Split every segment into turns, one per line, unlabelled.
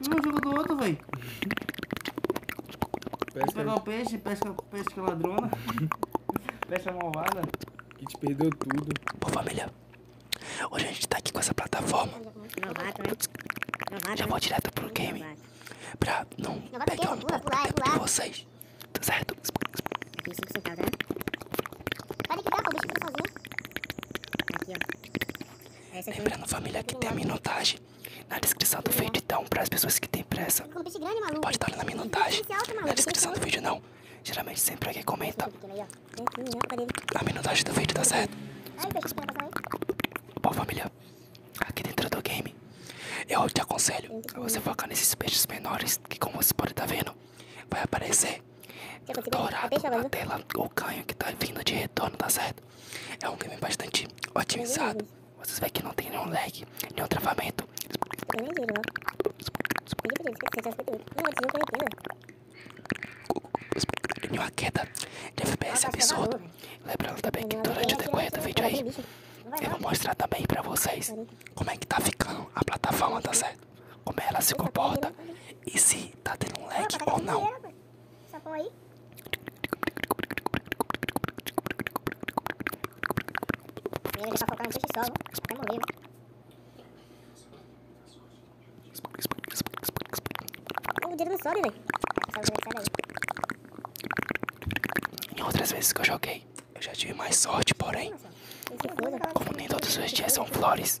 Um jogo do outro, velho. Pesca o peixe, pesca, pesca ladrona. pesca malvada. Que te perdeu tudo. Ô família, hoje a gente tá aqui com essa plataforma. Já vou direto pro game. Pra não pegar um tempo de vocês. Tá certo? Isso que você tá, né? o bicho sozinho. Aqui, ó. Lembrando, família, que tem a minutagem na descrição do vídeo, então, para as pessoas que têm pressa. Grande, pode dar na minutagem. Na descrição do vídeo, não. Geralmente, sempre alguém comenta. Na minutagem do vídeo, tá certo? Bom, família, aqui dentro do game, eu te aconselho a você focar nesses peixes menores, que como você pode estar tá vendo, vai aparecer dourado na tela, o canho que tá vindo de retorno, tá certo? É um game bastante otimizado. Uhum. Vocês veem que não tem nenhum lag, nenhum travamento. Né? Nenhuma queda de FPS tá absurdo. Lembrando também que durante o decorrer do vídeo aí, eu vou mostrar também pra vocês como é que tá ficando a plataforma, tá uhum. certo? como ela se comporta e se tá tendo um leque tá ou não. Em outras vezes que eu joguei, eu já tive mais sorte, porém, como tá nem todas as dias são flores.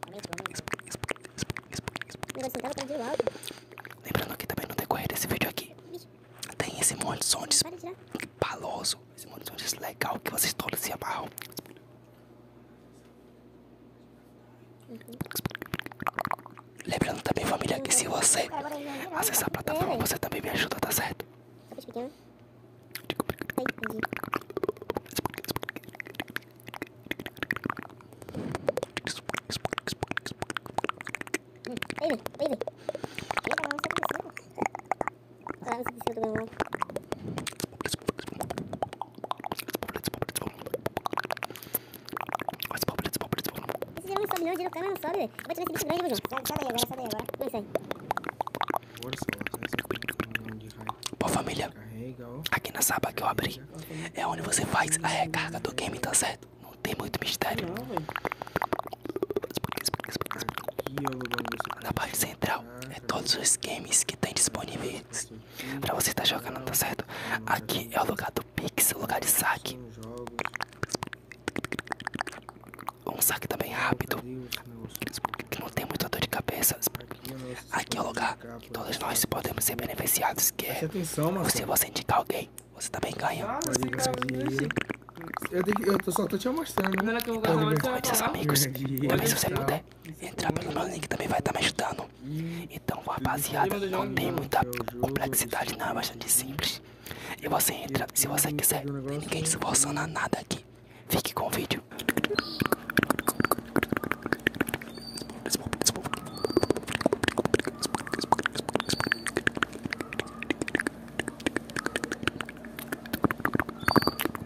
Tá Lembrando que também no decorrer desse vídeo aqui tem esse monte de som de paloso, esse monte de som legal que vocês todos se amarram. Uhum. Lembrando também, família, que se uhum. você acessar a plataforma, você também me ajuda, tá certo? Esse não sobe não, tira o cara, tá não sobe, velho. Vai tirar esse bicho grande, João. Sai daí agora, sai daí agora. Não sai. Pô, família, aqui na aba que eu abri é onde você faz a recarga do game, tá certo? Não tem muito mistério. Na parte central é todos os games que tem disponíveis pra você estar tá jogando, tá certo? Aqui é o lugar do Pix, o lugar de saque. Um saque também rápido não tem muita dor de cabeça. Aqui é o lugar que todos nós podemos ser beneficiados, que é se você indicar alguém, você também ganha. Eu, só tô te mostrando. Né? Convide é seus amigos. Também se você puder entrar pelo meu link, também vai estar tá me ajudando. Hum. Então, rapaziada, não tem muita complexidade, não. É bastante simples. E você entra, se você quiser. ninguém se é forçando a nada aqui. Fique com o vídeo.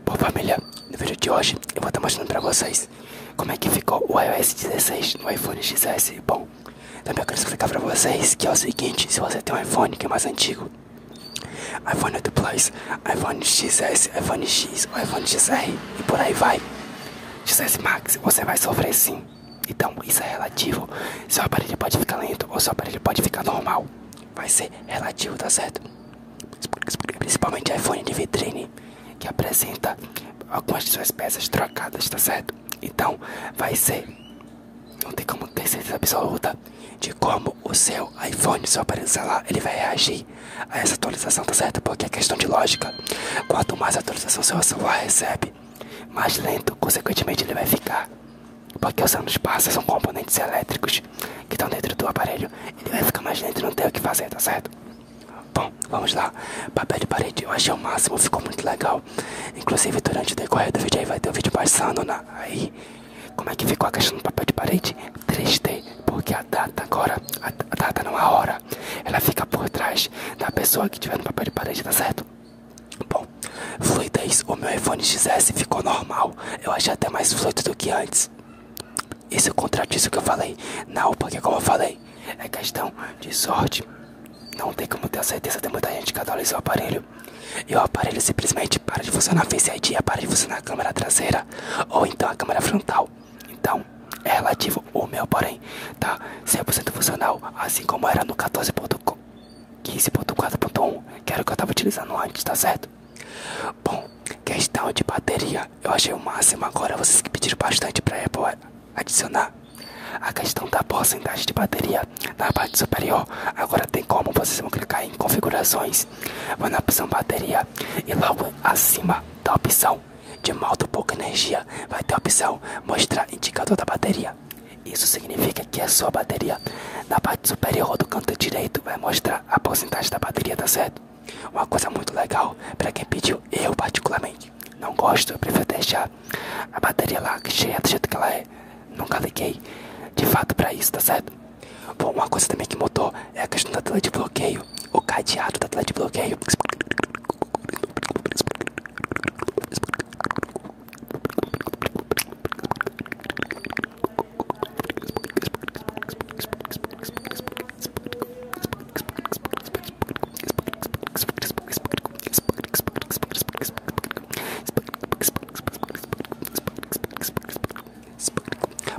Bom família, no vídeo de hoje eu vou estar mostrando pra vocês como é que ficou o iOS 16 no iPhone XS Bom, também eu quero explicar pra vocês que é o seguinte, se você tem um iPhone que é mais antigo iPhone 8 Plus, iPhone XS, iPhone X, iPhone XR e por aí vai. XS Max, você vai sofrer sim. Então, isso é relativo. Seu aparelho pode ficar lento ou seu aparelho pode ficar normal. Vai ser relativo, tá certo? Principalmente iPhone de vitrine, que apresenta algumas de suas peças trocadas, tá certo? Então, vai ser. Não tem como ter certeza absoluta de como o seu iPhone, seu aparelho celular, ele vai reagir que essa atualização tá certo porque é questão de lógica. Quanto mais atualização seu celular recebe, mais lento, consequentemente, ele vai ficar. Porque os anos passam, são componentes elétricos que estão dentro do aparelho. Ele vai ficar mais lento, não tem o que fazer, tá certo? Bom, vamos lá. Papel de parede, eu achei o máximo, ficou muito legal. Inclusive, durante o decorrer do vídeo aí vai ter o um vídeo passando na... Né? aí como é que ficou a questão do papel de parede? 3D, porque a data agora, a, data não é a hora, ela fica por trás da pessoa que tiver no papel de parede, tá certo? Bom, fluidez, o meu iPhone XS ficou normal, eu achei até mais fluido do que antes. Isso contradiz é o que eu falei, não, porque como eu falei, é questão de sorte. Não tem como ter certeza, de muita gente que atualiza o aparelho. E o aparelho simplesmente para de funcionar Face ID, para de funcionar a câmera traseira, câmera ou então a câmera frontal. Então é relativo o meu, porém, tá 100% funcional, assim como era no 14.15.4.1, que era o que eu tava utilizando antes, tá certo? Bom, questão de bateria, eu achei o máximo agora, vocês que pediram bastante pra Apple adicionar. A questão da porcentagem de bateria na parte superior, agora tem como vocês vão clicar em configurações, vão na opção bateria e logo acima da opção de modo pouca energia vai ter a opção mostrar indicador da bateria. Isso significa que a sua bateria na parte superior do canto direito vai mostrar a porcentagem da bateria, tá certo? Uma coisa muito legal para quem pediu, eu particularmente não gosto, eu prefiro deixar a bateria lá cheia do jeito que ela é. Nunca liguei de fato para isso, tá certo? Bom, uma coisa também que mudou é a questão do tela de bloqueio, o cadeado do tela de bloqueio.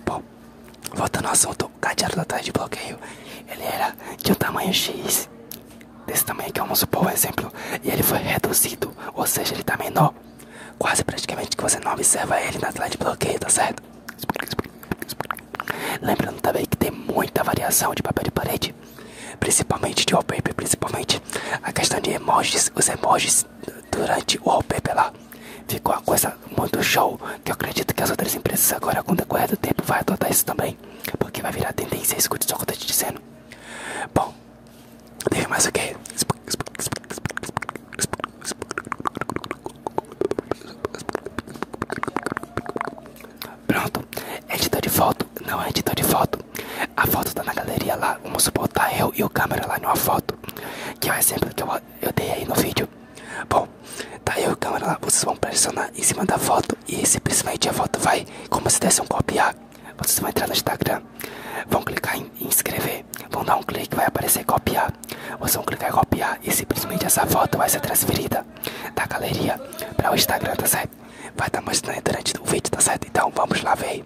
Bom, Voltando ao assunto, o cadeado da tarde de bloqueio, ele era de um tamanho X, desse tamanho que eu vamos supor, por exemplo, e ele foi reduzido, ou seja, ele tá menor, quase praticamente que você não observa ele na tela de bloqueio, tá certo? Lembrando também que tem muita variação de papel de parede, principalmente de wallpaper, principalmente a questão de emojis, os emojis durante o OPP lá. Ficou a coisa muito show, que eu acredito que as outras empresas agora, com o decorrer do tempo, vai adotar isso também. Porque vai virar tendência, escute só o que eu tô te dizendo. Bom, teve mais o que? Pronto, é editor de foto, não é editor de foto. A foto tá na galeria lá, vamos supor, tá eu e o câmera lá numa foto. Que vai o exemplo que eu eu dei aí no vídeo. Bom, tá aí a câmera lá, vocês vão pressionar em cima da foto e simplesmente a foto vai, como se desse um copiar. Vocês vão entrar no Instagram, vão clicar em inscrever, vão dar um clique, vai aparecer copiar. Vocês vão clicar em copiar e simplesmente essa foto vai ser transferida da galeria para o Instagram, tá certo? Vai estar mostrando durante o vídeo, tá certo? Então vamos lá ver.